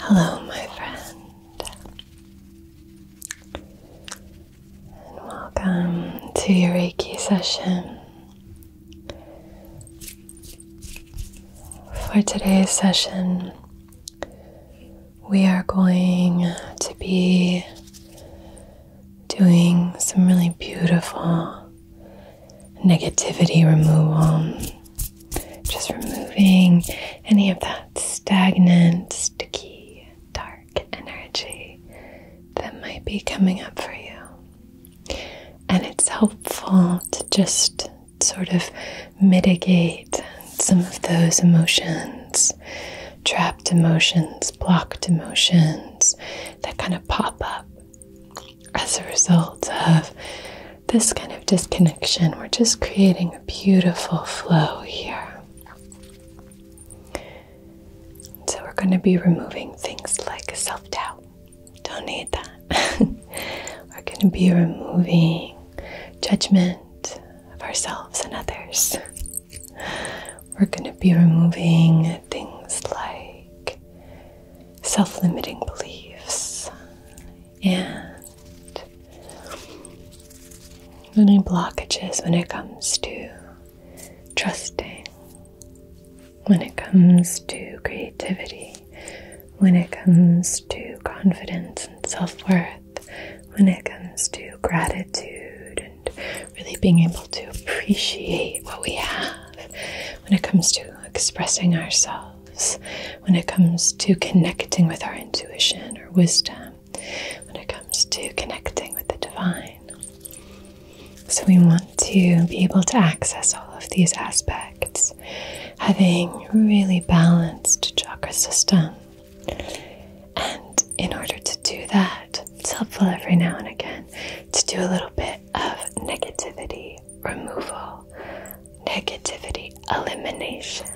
Hello, my friend, and welcome to your Reiki session. For today's session, we are going to be doing some really beautiful negativity removal. Just removing any of that stagnant, sticky, dark energy that might be coming up for you. And it's helpful to just sort of mitigate some of those emotions, trapped emotions blocked emotions that kind of pop up as a result of this kind of disconnection. We're just creating a beautiful flow here. So, we're going to be removing things like self doubt. Don't need that. we're going to be removing judgment of ourselves and others. We're going to be removing things like self limiting beliefs and any blockages when it comes to trusting, when it comes to creativity, when it comes to confidence and self worth, when it comes to gratitude really being able to appreciate what we have when it comes to expressing ourselves, when it comes to connecting with our intuition or wisdom, when it comes to connecting with the divine. So, we want to be able to access all of these aspects, having really balanced chakra system. And in order to do that, it's helpful every now and again to do a little bit of negativity removal, negativity elimination.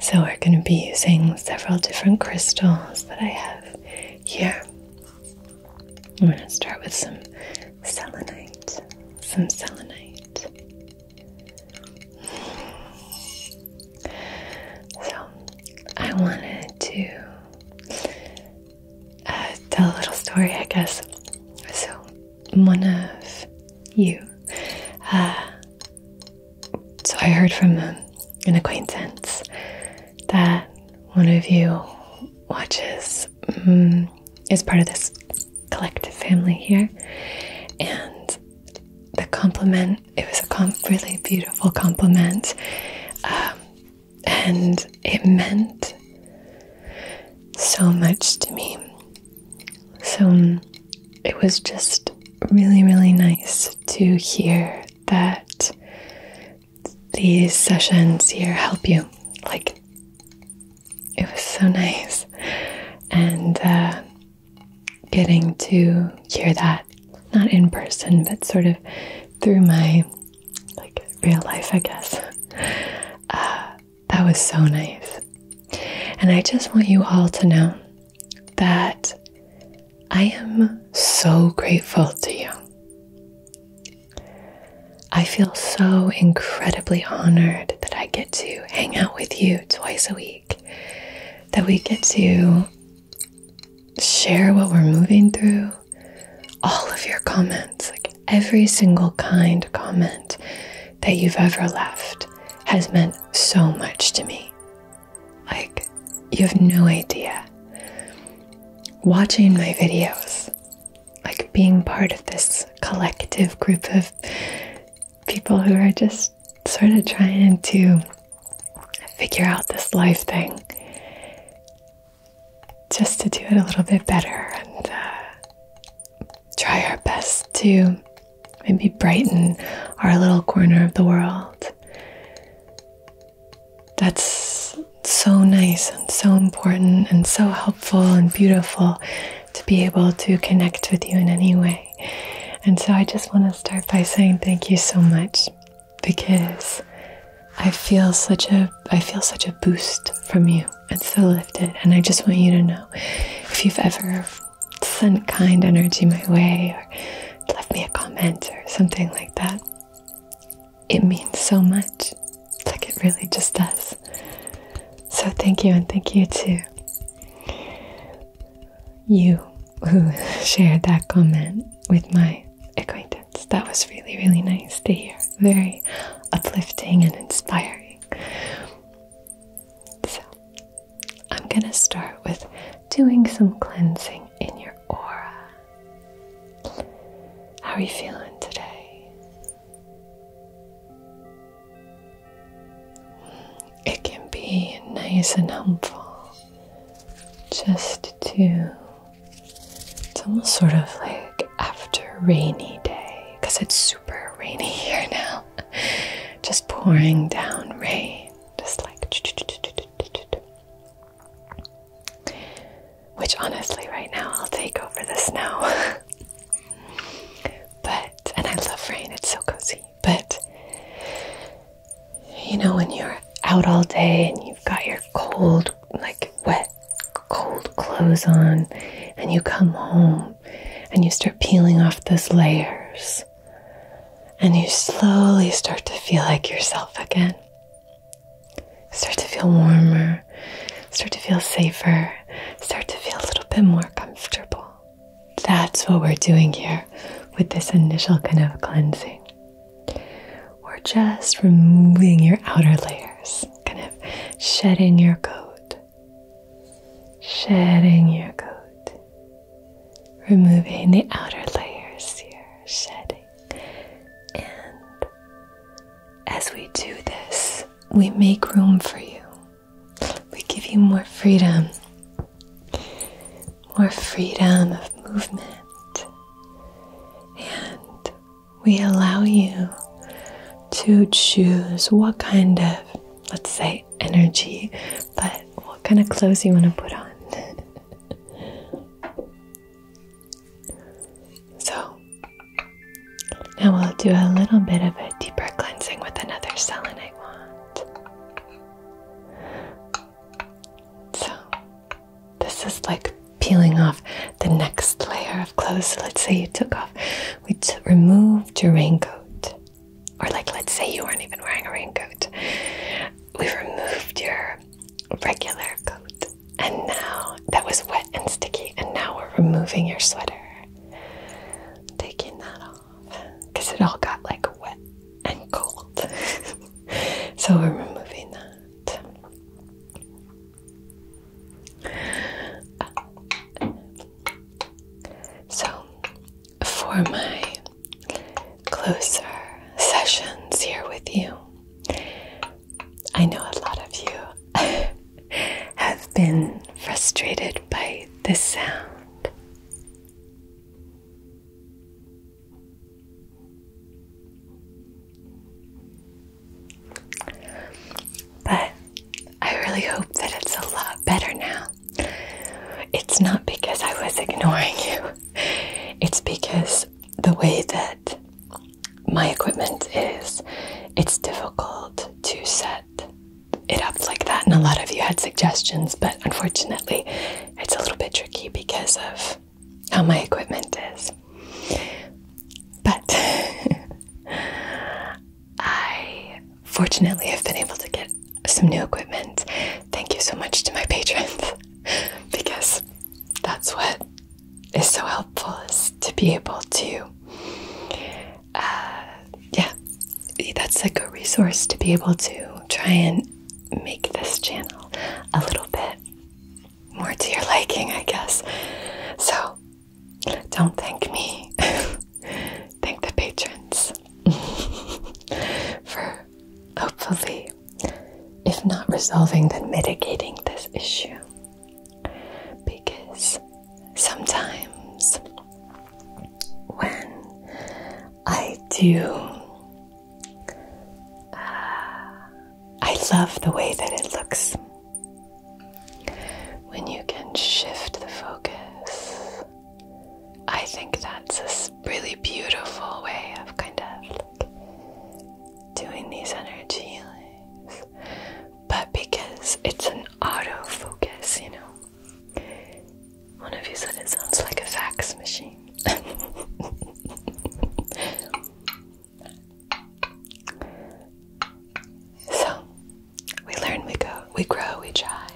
So, we're going to be using several different crystals that I have here. I'm going to start with some selenite. Some selenite. So, I wanted to uh, tell a little story, I guess. So, one of you, uh, so I heard from an acquaintance that one of you watches, mm, is part of this collective family here, and the compliment, it was a really beautiful compliment. Um, and it meant so much to me. So um, it was just really, really nice to hear that these sessions here help you. Like, it was so nice. And uh, getting to hear that, not in person, but sort of through my like real life, I guess. Uh, that was so nice. And I just want you all to know that I am so grateful to you. I feel so incredibly honored that I get to hang out with you twice a week, that we get to share what we're moving through. All of your comments, like every single kind comment that you've ever left, has meant so much to me. Like, you have no idea. Watching my videos, like being part of this collective group of people who are just sort of trying to figure out this life thing just to do it a little bit better and uh, try our best to maybe brighten our little corner of the world. That's so nice and so important and so helpful and beautiful to be able to connect with you in any way. And so I just want to start by saying thank you so much because I feel such a I feel such a boost from you. It's so lifted, and I just want you to know if you've ever sent kind energy my way or left me a comment or something like that. It means so much. like it really just does. So thank you, and thank you to you who shared that comment with my acquaintance that was really, really nice to hear. Very uplifting and inspiring. So, I'm going to start with doing some cleansing in your aura. How are you feeling today? It can be nice and helpful just to it's almost sort of like after rainy day, because it's super rainy here now. Just pouring down rain, just like. Which honestly, right now, I'll take over the snow. but, and I love rain, it's so cozy. But you know, when you're out all day and you've got your cold, like wet, cold clothes on, and you come home and you start peeling off those layers, and you slowly start to feel like yourself again. Start to feel warmer, start to feel safer, start to feel a little bit more comfortable. That's what we're doing here with this initial kind of cleansing. We're just removing your outer layers, kind of shedding your coat, shedding your coat, removing the outer layers You're shedding. And as we do this, we make room for you, we give you more freedom more freedom of movement, and we allow you to choose what kind of, let's say, energy, but what kind of clothes you want to put on. so, now we'll do a little bit of a deeper cleansing with another selenite wand. So, this is like peeling off the next layer of clothes. let's say you took off, we removed your raincoat, or like let's say you weren't even wearing a raincoat. We removed your regular coat, and now that was wet and sticky, and now we're removing your sweater, taking that off because it all got like wet and cold. so we're removing that. so, for my closer sessions here with you, I know a lot of you have been frustrated by this sound. But I really hope that it's a lot better now. It's not because I was ignoring you, it's because the way that my equipment is, it's difficult to set it up like that. And a lot of you had suggestions, but unfortunately, it's a little bit tricky because of how my equipment is. But I fortunately have been able to get some new equipment. Thank you so much to my patrons because that's what is so helpful is to be able to uh, yeah that's like a resource to be able to try and make this channel a little bit more to your liking, I guess. So don't thank me, thank the patrons for hopefully, if not resolving, then mitigating this issue. Because sometimes when I do I love the way that it looks when you can shift the focus. I think that's a really beautiful way of kind of doing these energy but because it's an autofocus, you know. One of you said it sounds like a fax machine so, we learn, we go, we grow, we try.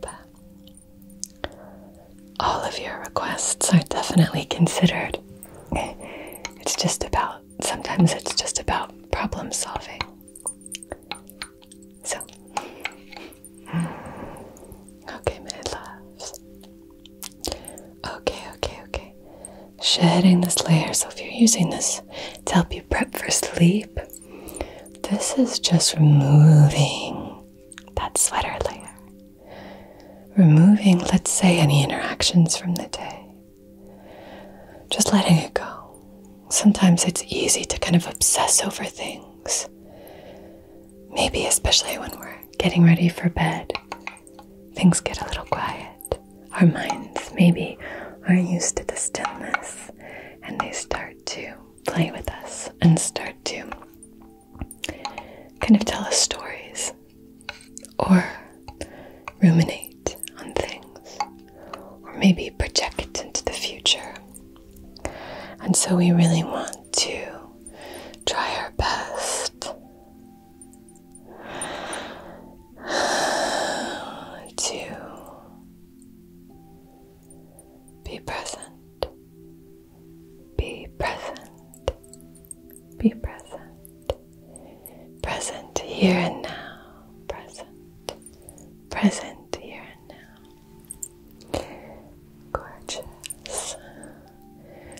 but all of your requests are definitely considered. It's just about, sometimes it's just about problem solving. So, okay, my loves. Okay, okay, okay. Shedding this layer. So, if you're using this to help you prep for sleep, this is just removing that sweater layer. Removing, let's say, any interactions from the day. Just letting it go. Sometimes it's easy to kind of obsess over things. Maybe, especially when we're getting ready for bed, things get a little quiet. Our minds maybe aren't used to the stillness and they start to play with us and start to kind of tell us stories or ruminate on things or maybe project into the future and so we really want to try our best to be present, be present, be present, present here and now, present, present here and now. Gorgeous.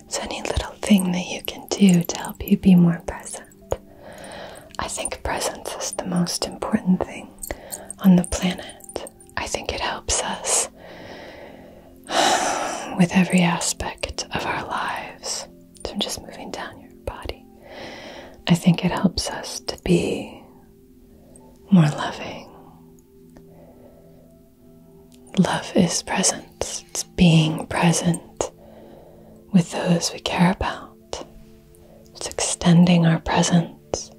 So, any little thing that you can do to help you be more present. I think presence is the most important thing on the planet. I think it helps us with every aspect of our lives. So, I'm just moving down your body. I think it helps us to be more loving, Love is presence, it's being present with those we care about. It's extending our presence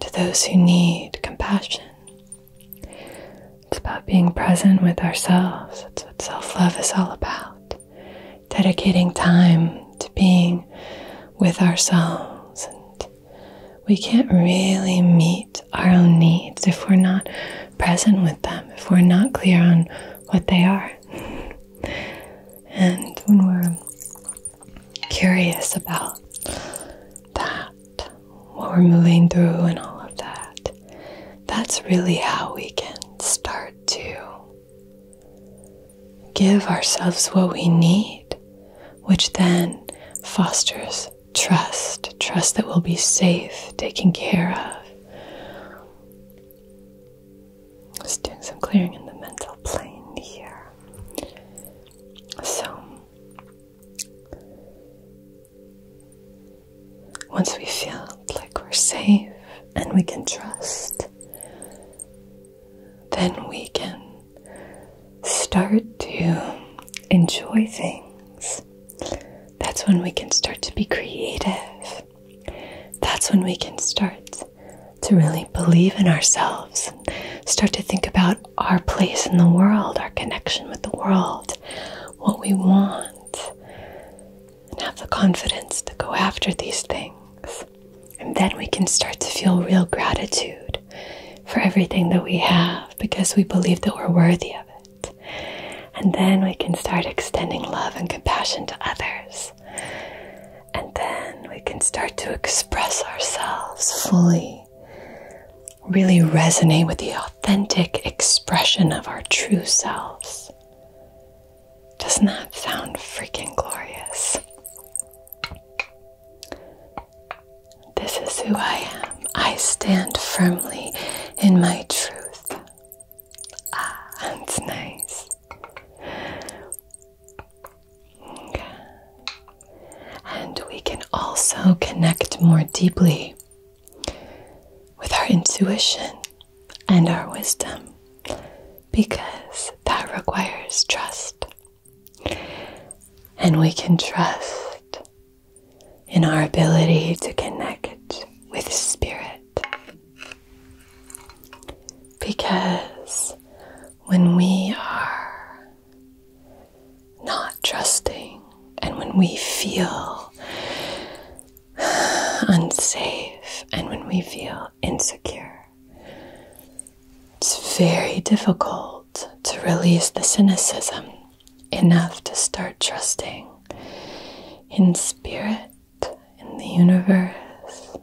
to those who need compassion. It's about being present with ourselves. That's what self love is all about. Dedicating time to being with ourselves and we can't really meet our own needs if we're not present with them, if we're not clear on what they are. and when we're curious about that, what we're moving through, and all of that, that's really how we can start to give ourselves what we need, which then fosters trust trust that we'll be safe, taken care of. Just doing some clearing in the mental plane here. So, once we feel like we're safe and we can trust, then we can start to enjoy things, that's when we can start to be creative. That's when we can start to really believe in ourselves, start to think about our place in the world, our connection with the world, what we want, and have the confidence to go after these things. And then we can start to feel real gratitude for everything that we have because we believe that we're worthy of it. And then we can start extending love and compassion to others. And then we can start to express ourselves fully, really resonate with the authentic expression of our true selves. Doesn't that sound freaking glorious? This is who I am. I stand firmly in my truth. Ah, that's nice. Okay. And we can also connect more deeply with our intuition and our wisdom because that requires trust. And we can trust in our ability to connect with Spirit. Because when we are not trusting and when we feel unsafe and when we feel insecure, it's very difficult to release the cynicism enough to start trusting in spirit, in the universe,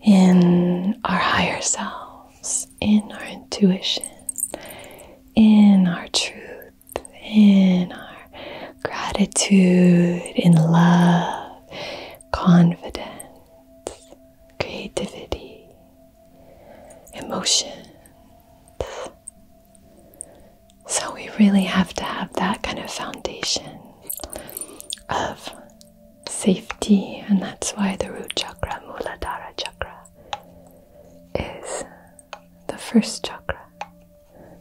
in our higher selves, in our intuition, in our truth, in our gratitude, in love, confidence, creativity, emotion. So we really have to have that kind of foundation of safety, and that's why the root chakra, Muladhara chakra, is the first chakra.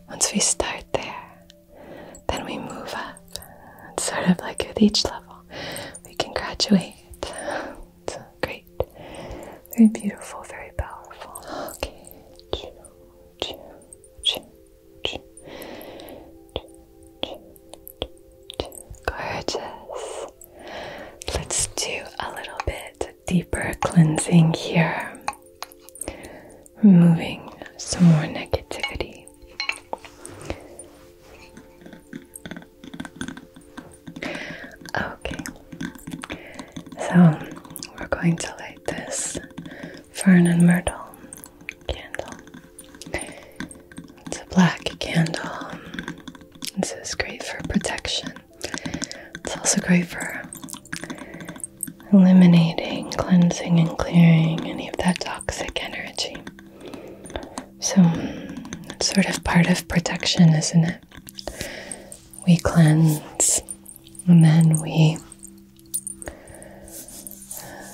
Once we start there, then we move up up. It's sort of like with each level, we can graduate. great. Very beautiful, very powerful. Okay. Gorgeous. Let's do a little bit deeper cleansing here. Removing some more negativity. Okay, so we're going to light this fern and myrtle candle. It's a black candle. This is great for protection. It's also great for eliminating, cleansing, and clearing any of that toxic energy. So it's sort of part of protection, isn't it? We cleanse and then we uh,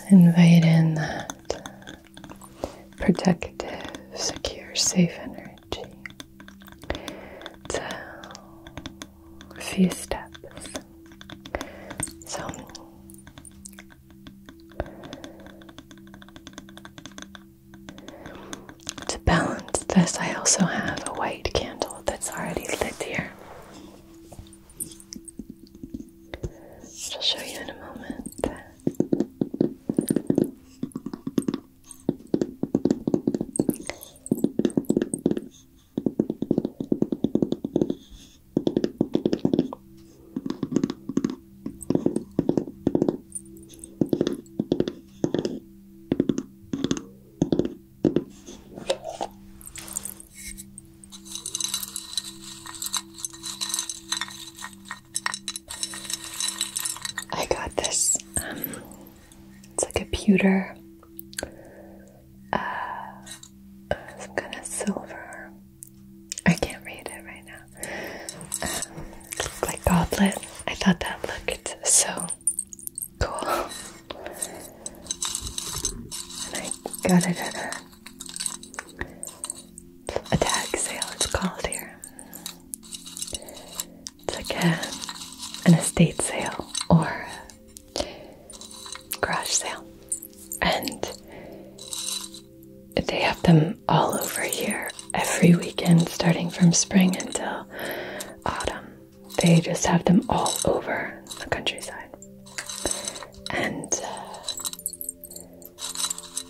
invite in that protective, secure, safe energy. a few steps. So to balance this, I also have a white candle that's already lit here. I'll show you in a moment. I got this. Um, it's like a pewter, uh, some kind of silver I can't read it right now. like um, goblet. I thought that looked so cool. And I got it at a, a sale, it's called here. It's like an estate sale or garage sale. And they have them all over here every weekend, starting from spring until autumn. They just have them all over the countryside. And uh,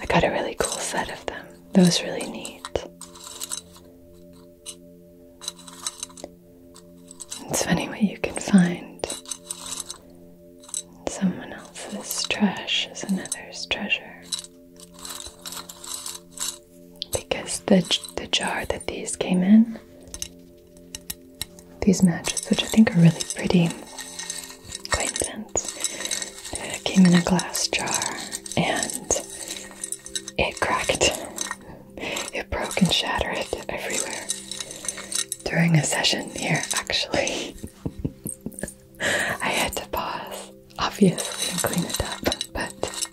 I got a really cool set of them. Those really neat. It's funny what you can find Someone else's trash is another's treasure. Because the, the jar that these came in, these matches, which I think are really pretty, quite uh, came in a glass jar and it cracked. It broke and shattered everywhere during a session here, actually. I had to pause, obviously, and clean it up, but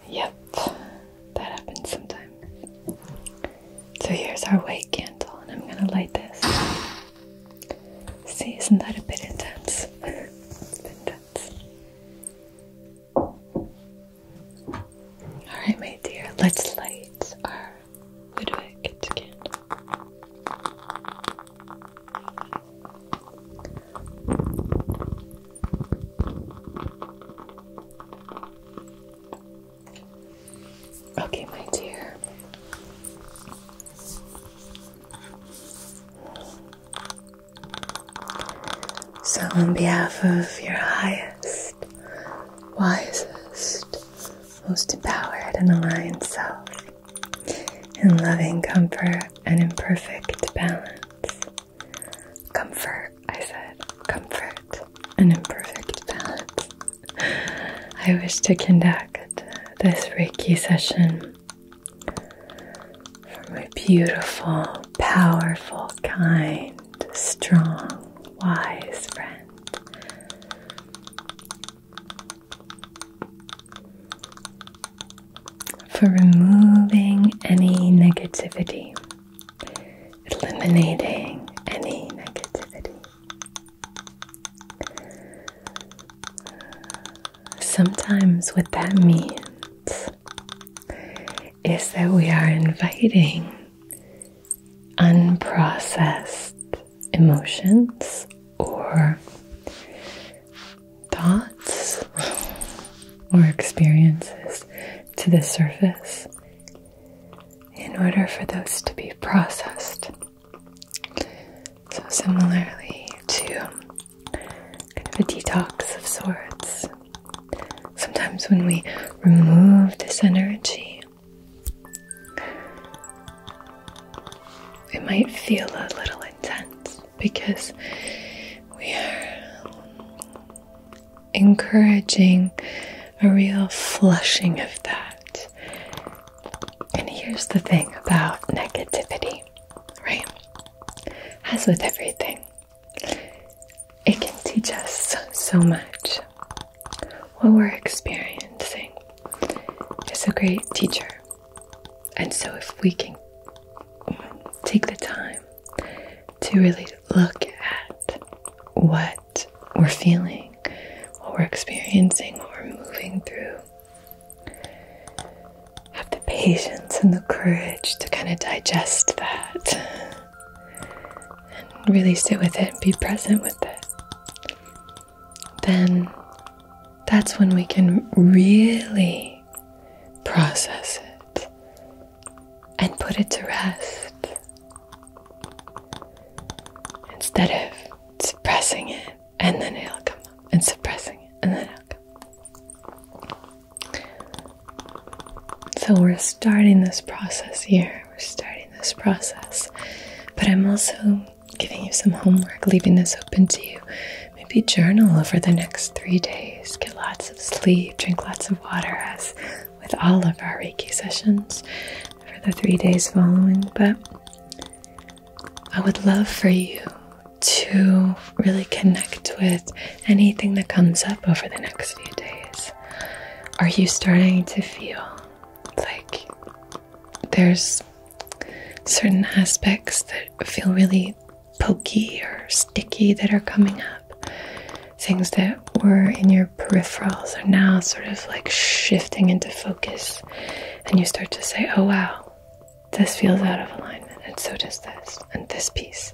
yep, that happens sometimes. So here's our white candle, and I'm gonna light this. See, isn't that a bit intense? a bit intense. Alright, my dear, let's light our Ludwig candle. Okay, my dear. So, on behalf of your highest, wisest, most empowered and aligned self, in loving comfort and in perfect balance, comfort, I said, comfort and in perfect balance, I wish to conduct this Reiki session for my beautiful powerful, kind, strong, wise friend. For removing any negativity, eliminating any negativity. Sometimes, what that means is that we are inviting unprocessed emotions or thoughts or experiences to the surface in order for those to be processed. So, similarly to a detox of sorts, Sometimes, when we remove this energy, it might feel a little intense because we are encouraging a real flushing of that. And here's the thing about negativity, right? As with everything, it can teach us so much. What we're experiencing is a great teacher. And so, if we can take the time to really look at what we're feeling, what we're experiencing, what we're moving through, have the patience and the courage to kind of digest that and really sit with it and be present with it, then that's when we can really process it and put it to rest instead of suppressing it and then it'll come up and suppressing it and then it'll come. So we're starting this process here. We're starting this process. But I'm also giving you some homework, leaving this open to you. Maybe journal over the next three days, get lots of sleep, drink lots of water, as with all of our Reiki sessions for the three days following. But I would love for you to really connect with anything that comes up over the next few days? Are you starting to feel like there's certain aspects that feel really pokey or sticky that are coming up? Things that were in your peripherals are now sort of like shifting into focus, and you start to say, Oh wow, this feels out of alignment, and so does this, and this piece.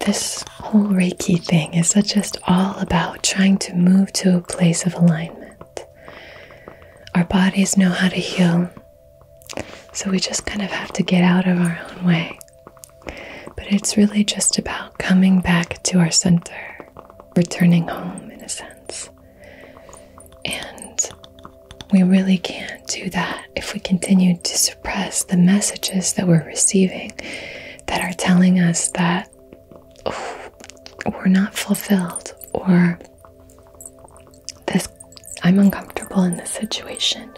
This whole Reiki thing is just all about trying to move to a place of alignment. Our bodies know how to heal, so we just kind of have to get out of our own way. But it's really just about coming back to our center, returning home in a sense. And we really can't do that if we continue to suppress the messages that we're receiving that are telling us that we're not fulfilled or this I'm uncomfortable in this situation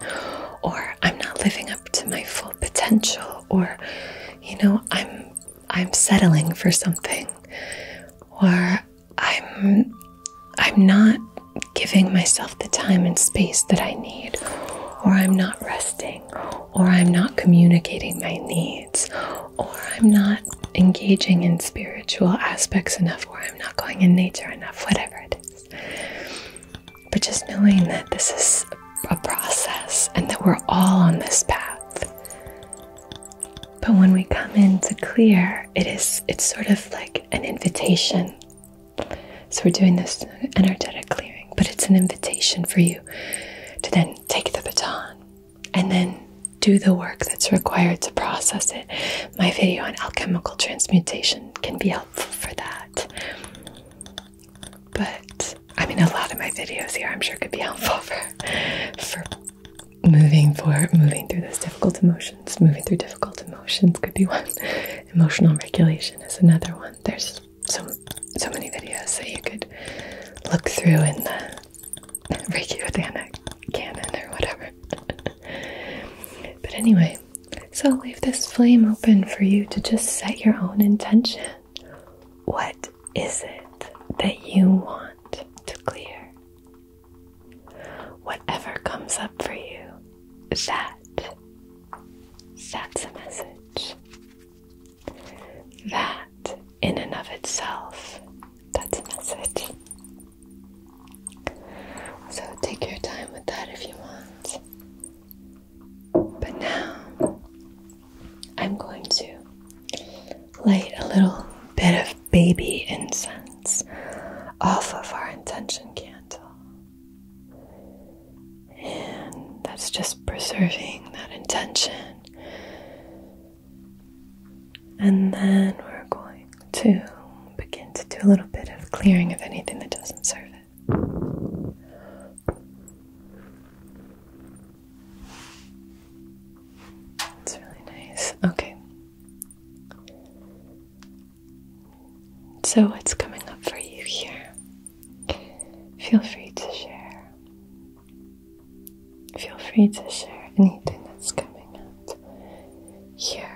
or I'm not living up to my full potential or you know I'm I'm settling for something or I'm I'm not giving myself the time and space that I need, or I'm not resting, or I'm not communicating my needs, or I'm not engaging in spiritual aspects enough, or I'm not going in nature enough, whatever it is. But just knowing that this is a process and that we're all on this path. But when we come into clear, it is it's sort of like an invitation so we're doing this energetic clearing, but it's an invitation for you to then take the baton and then do the work that's required to process it. My video on alchemical transmutation can be helpful for that. But I mean, a lot of my videos here, I'm sure, could be helpful for for moving for moving through those difficult emotions. Moving through difficult emotions could be one. Emotional regulation is another one. There's so so many videos that you could look through in the Reiki Vedana canon or whatever. but anyway, so leave this flame open for you to just set your own intention. What is it that you want to clear? Whatever comes up for you, that that's a message that in and of itself that's a message so take your time with that if you want but now i'm going to light a little bit of baby incense off of our intention candle and that's just preserving that intention. And then we're going to begin to do a little bit of clearing of anything that doesn't serve it. It's really nice. Okay. So, what's coming up for you here? Feel free to share. Feel free to share anything that's coming up here.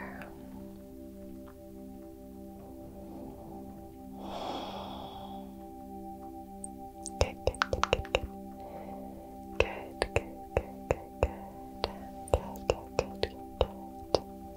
Good, good, good, good, good. Good, good, good, good, good. Good,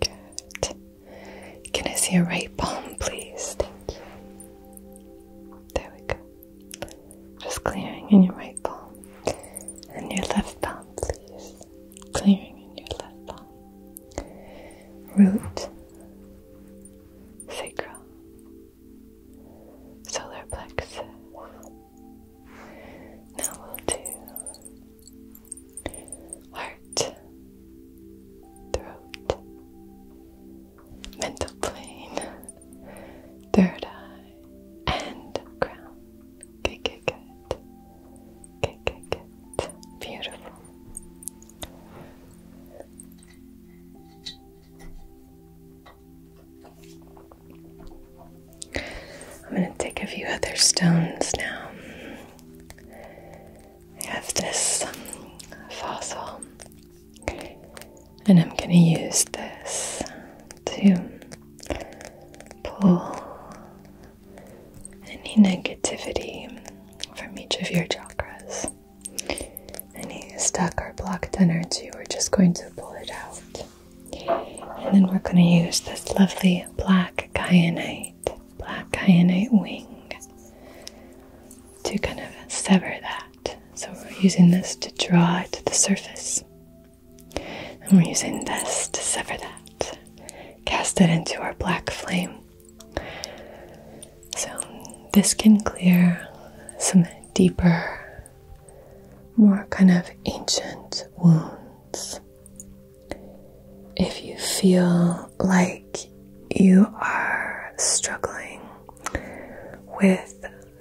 Good. Can I see your right palm, please? Thank you. There we go. Just clearing in your right palm and your left palm please. Clearing in your left palm. Root, sacral, solar plexus. Now we'll do heart, throat, mental plane, third eye and crown. Good, good, good. Good, Beautiful. I'm going to take a few other stones now. I have this um, fossil, and I'm going to use this too pull any negativity from each of your chakras. Any stuck or blocked energy, we're just going to pull it out. And then we're going to use this lovely black kyanite, black kyanite wing to kind of sever that. So we're using this to draw it to the surface. And we're using this to sever that. Cast it into our black flame. So, this can clear some deeper, more kind of ancient wounds. If you feel like you are struggling with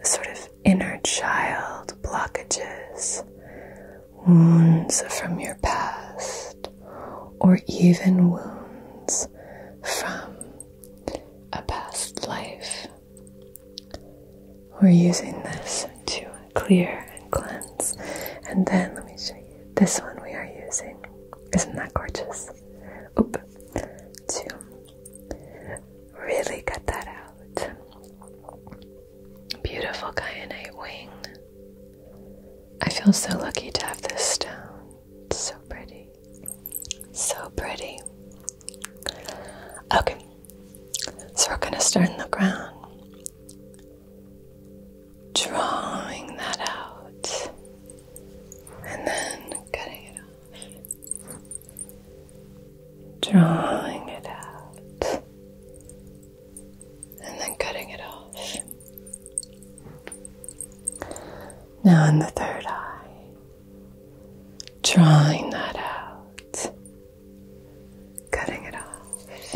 sort of inner child blockages, wounds from your past, or even wounds from a past life. We're using this to clear and cleanse. And then let me show you this one we are using. Isn't that gorgeous? Oop. To really cut that out. Beautiful kyanite wing. I feel so lucky to have this stone. so pretty. So pretty. Okay, so we're going to stir in the ground. Drawing that out and then cutting it off drawing it out, and then cutting it off. Now, in the third eye, drawing that out, cutting it off,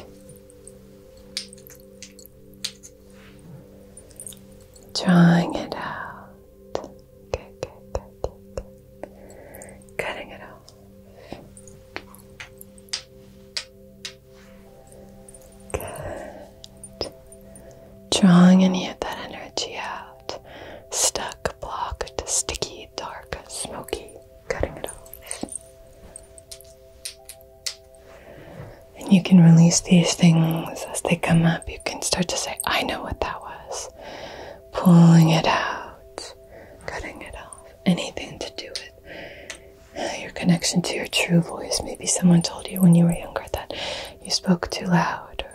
drawing it out, cutting it off. Good. Drawing any of that energy out. Stuck, blocked, sticky, dark, smoky, cutting it off. And you can release these things as they come up. You can start to say, I know what that was. Pulling it out cutting it off, anything to do with uh, your connection to your true voice. Maybe someone told you when you were younger that you spoke too loud,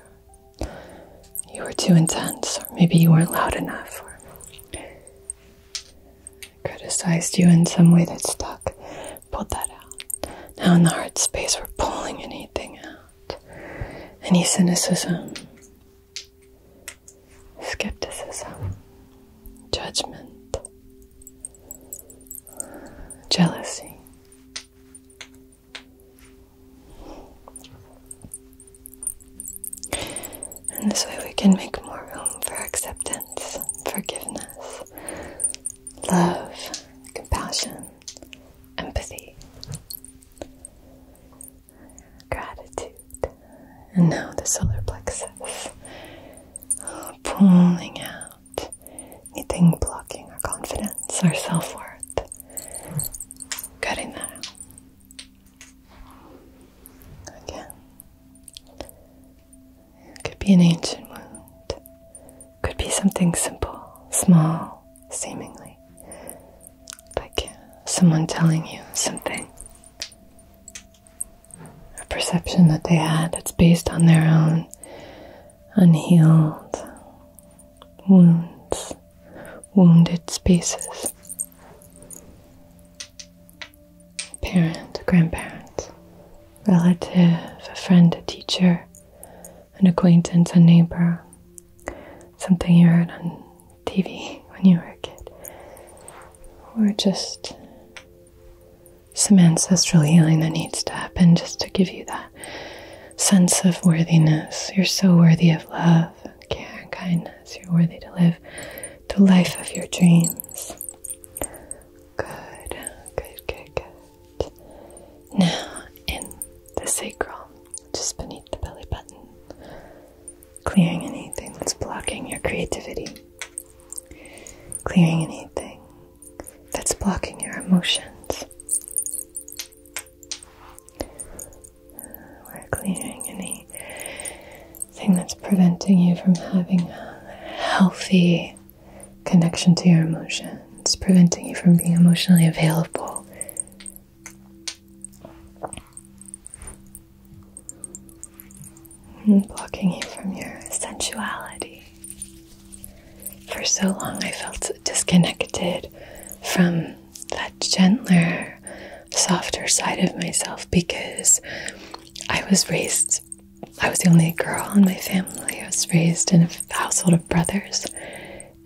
you were too intense, or maybe you weren't loud enough, or criticized you in some way that stuck. Pulled that out. Now, in the heart space, we're pulling anything out. Any cynicism, skepticism, judgment, jealousy. And this way we can make more room for acceptance, forgiveness, love, compassion, empathy gratitude. And now the solar plexus. Pulling out anything blocking our confidence, our self worth. Cutting that out. Again. could be an ancient wound. Could be something simple, small, seemingly like someone telling you something. A perception that they had that's based on their own unhealed wounds, wounded spaces. Parent, grandparent, relative, a friend, a teacher, an acquaintance, a neighbor, something you heard on TV when you were a kid, or just some ancestral healing that needs to happen just to give you that sense of worthiness. You're so worthy of love, care, and kindness. You're worthy to live the life of your dreams. Good, good, good, good. Now, in the sacral, just beneath the belly button, clearing anything that's blocking your creativity, clearing anything that's blocking your emotions. We're clearing anything that's preventing you from having a healthy connection to your emotions, preventing you from being emotionally available and blocking you from your sensuality. For so long, I felt disconnected from that gentler, softer side of myself because I was raised, I was the only girl in my family. I was raised in a household of brothers,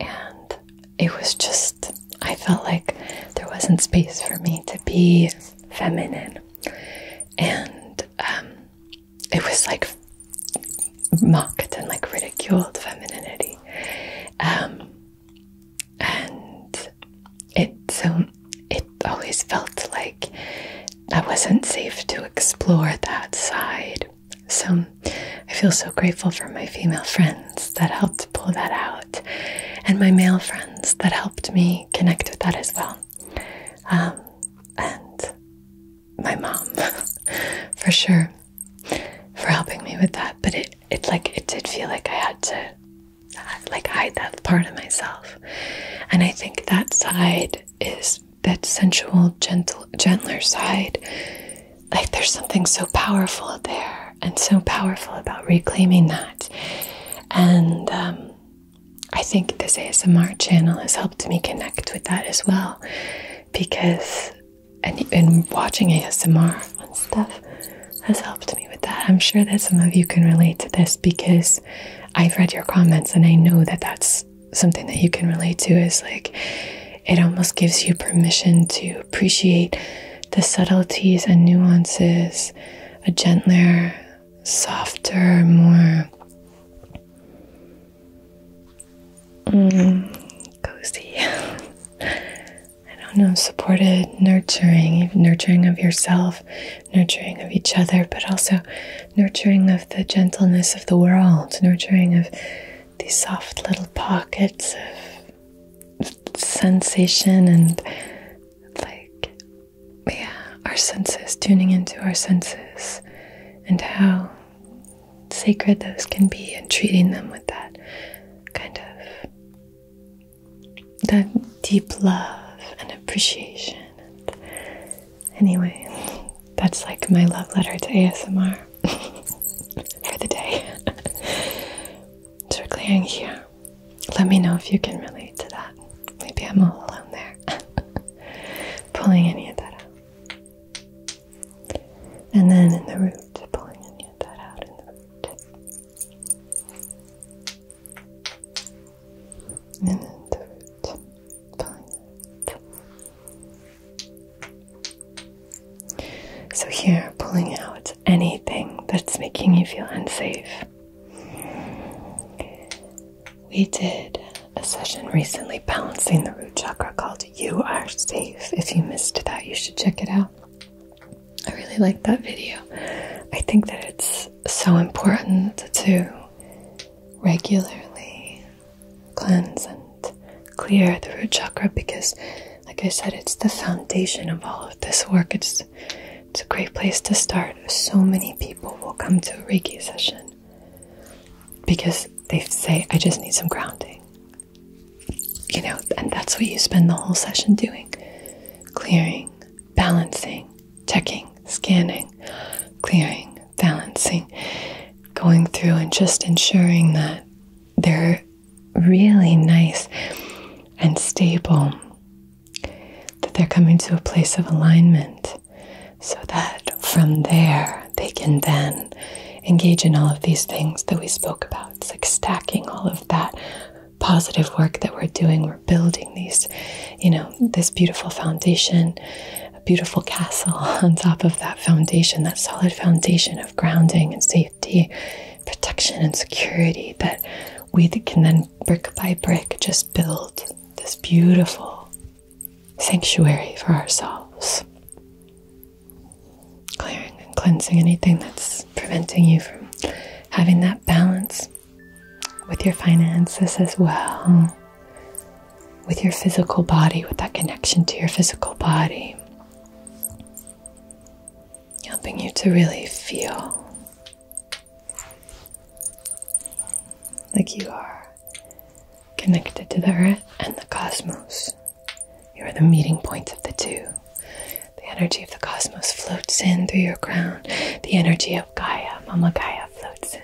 and it was just I felt like there wasn't space for me to be feminine, and um, it was like mocked and like ridiculed femininity, um, and it so it always felt like I wasn't safe to explore that side. So I feel so grateful for my female friends that helped pull that out, and my male friends that helped me connect with that as well. Um, and my mom, for sure, for helping me with that. But it, it like it did feel like I had to like hide that part of myself, and I think that side is that sensual, gentle, gentler side like there's something so powerful there and so powerful about reclaiming that. And um, I think this ASMR channel has helped me connect with that as well because and, and watching ASMR and stuff has helped me with that. I'm sure that some of you can relate to this because I've read your comments and I know that that's something that you can relate to is like it almost gives you permission to appreciate the subtleties and nuances, a gentler, softer, more mm, cozy. I don't know, supported, nurturing, nurturing of yourself, nurturing of each other, but also nurturing of the gentleness of the world, nurturing of these soft little pockets of sensation and like, yeah, our senses, tuning into our senses and how sacred those can be and treating them with that kind of that deep love and appreciation anyway that's like my love letter to asmr for the day circling here. Let me know if you can relate to that. Maybe I'm all alone there, pulling any of that out. And then in the root, pulling any of that out in the root. And the root, pulling it. So here, pulling out anything that's making you feel unsafe. We did a session recently balancing the root chakra called You Are Safe. If you missed that, you should check it out. I really like that video. I think that it's so important to regularly cleanse and clear the root chakra because like I said, it's the foundation of all of this work. It's it's a great place to start. So many people will come to a Reiki session because they say, I just need some grounding. You know, and that's what you spend the whole session doing. Clearing, balancing, checking, scanning, clearing, balancing, going through and just ensuring that they're really nice and stable, that they're coming to a place of alignment so that from there they can then engage in all of these things that we spoke about. It's like stacking all of that positive work that we're doing. We're building these, you know, this beautiful foundation, a beautiful castle on top of that foundation, that solid foundation of grounding and safety safety, protection, and security that we can then brick by brick just build this beautiful sanctuary for ourselves. Clearing and cleansing anything that's preventing you from having that balance with your finances as well, with your physical body, with that connection to your physical body helping you to really feel like you are connected to the earth and the cosmos. You are the meeting point of the two. The energy of the cosmos floats in through your crown. The energy of Gaia, Mama Gaia, floats in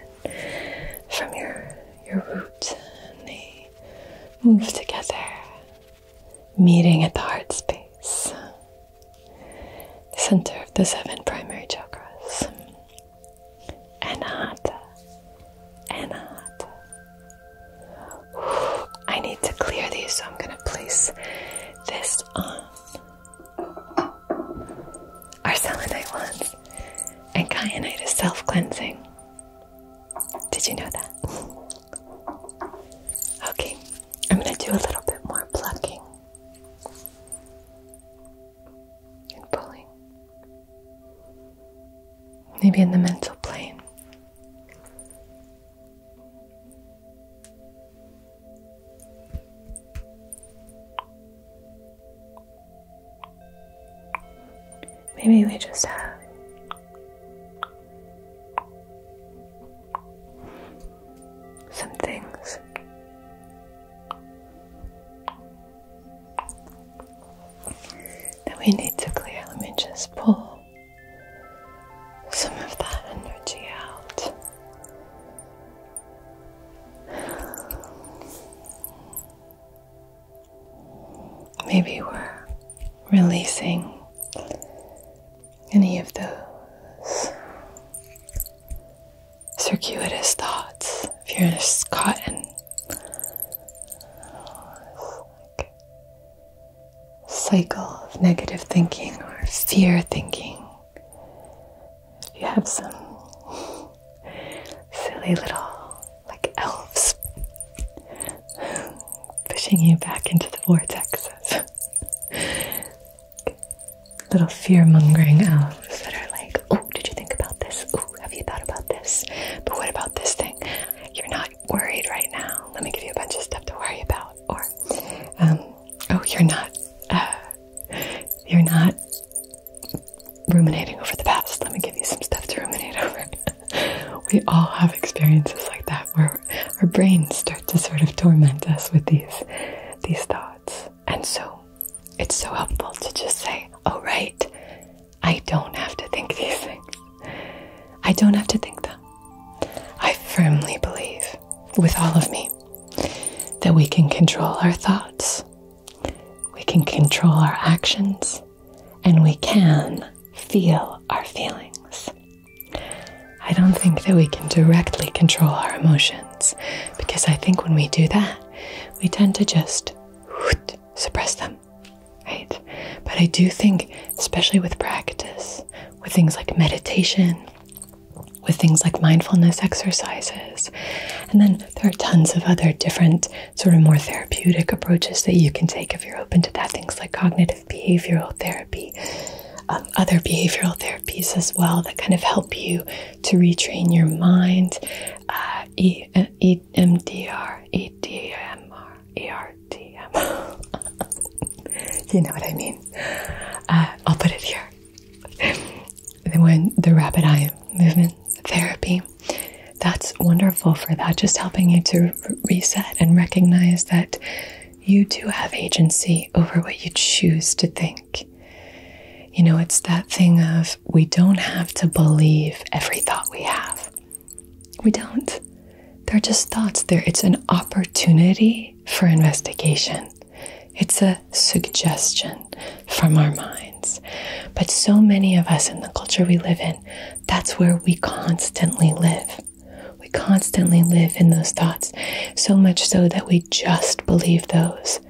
from your your root, and they move together meeting at the heart space, center of the seven primary chakras. Anahata, Anahata. I need to clear these, so I'm going to place this on our selenite wands, and kyanite is self cleansing. Did you know that? Okay, I'm going to do a little bit more plucking and pulling, maybe in the mental plane. Maybe we just have some things. That we need to clear. Let me just pull some of that energy out. Maybe we're releasing any of those circuitous thoughts. If you're caught in a cycle of negative thinking or fear thinking, if you have some silly little like elves pushing you back into the vortexes. Little fear mongering elves that are like, oh, did you think about this? Oh, have you thought about this? But what about this thing? You're not worried right now. Let me give you a bunch of stuff to worry about. Or, um, oh, you're not, uh, you're not ruminating over the past. Let me give you some stuff to ruminate over we all have experiences like that where our brains start to sort of torment us with these these thoughts. And so it's so helpful to just say, "Oh right, I don't have to think these things. I don't have to think them." I firmly believe with all of me that we can control our thoughts. We can control our actions and we can feel our feelings. I don't think that we can directly control our emotions because I think when we do that, we tend to just suppress them, right? But I do think, especially with practice, with things like meditation, with things like mindfulness exercises. And then there are tons of other different, sort of more therapeutic approaches that you can take if you're open to that. Things like cognitive behavioral therapy, um, other behavioral therapies as well that kind of help you to retrain your mind. Uh, e you know what I mean. Uh, I'll put it here. Then when the rapid eye movement therapy. That's wonderful for that, just helping you to reset and recognize that you do have agency over what you choose to think. You know, it's that thing of we don't have to believe every thought we have. We don't. They're just thoughts. There it's an opportunity for investigation. It's a suggestion from our minds. But so many of us in the culture we live in, that's where we constantly live. We constantly live in those thoughts, so much so that we just believe those.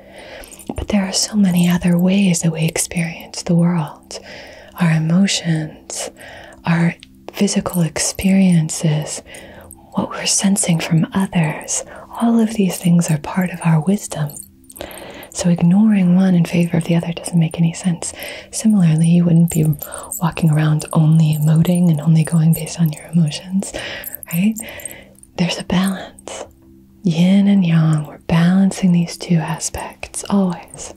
But there are so many other ways that we experience the world our emotions, our physical experiences, what we're sensing from others. All of these things are part of our wisdom. So ignoring one in favor of the other doesn't make any sense. Similarly, you wouldn't be walking around only emoting and only going based on your emotions, right? There's a balance. Yin and yang, we're balancing these two aspects always.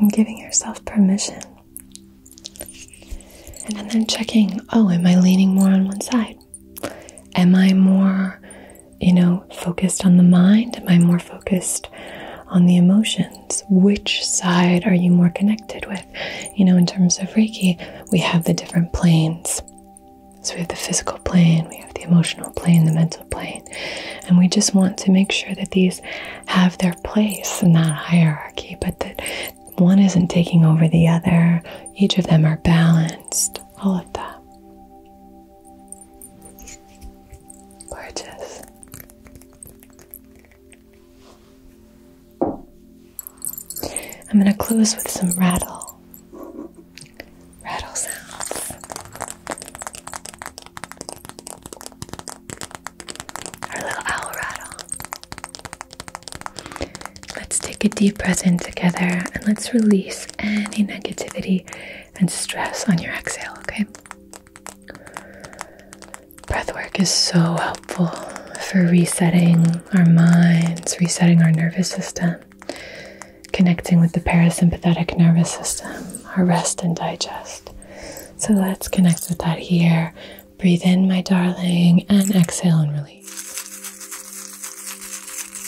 And giving yourself permission. And then checking oh, am I leaning more on one side? Am I more you know, focused on the mind? Am I more focused on the emotions? Which side are you more connected with? You know, in terms of Reiki, we have the different planes. So we have the physical plane, we have the emotional plane, the mental plane. And we just want to make sure that these have their place in that hierarchy, but that one isn't taking over the other. Each of them are balanced, all of that. Gorgeous. I'm going to close with some rattle. Rattle sounds. Our little owl rattle. Let's take a deep breath in together and let's release any negativity and stress on your exhale, okay? Breath work is so helpful for resetting our minds, resetting our nervous system, connecting with the parasympathetic nervous system, our rest and digest. So let's connect with that here. Breathe in, my darling, and exhale and release.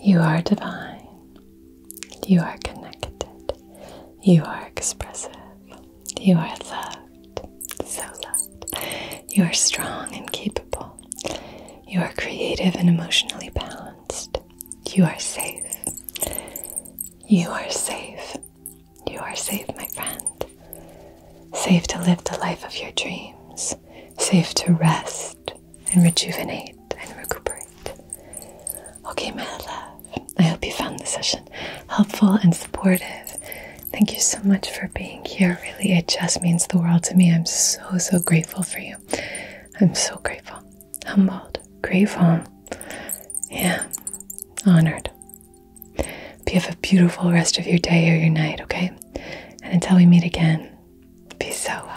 You are divine. You are connected. You are expressive. You are loved. So loved. You are strong and capable. You are creative and emotionally balanced. You are safe. You are safe. You are safe, my friend safe to live the life of your dreams, safe to rest and rejuvenate and recuperate. Okay, my love, I hope you found the session helpful and supportive. Thank you so much for being here. Really, it just means the world to me. I'm so, so grateful for you. I'm so grateful, humbled, grateful. Yeah, honored. But have a beautiful rest of your day or your night, okay? And until we meet again, be so well.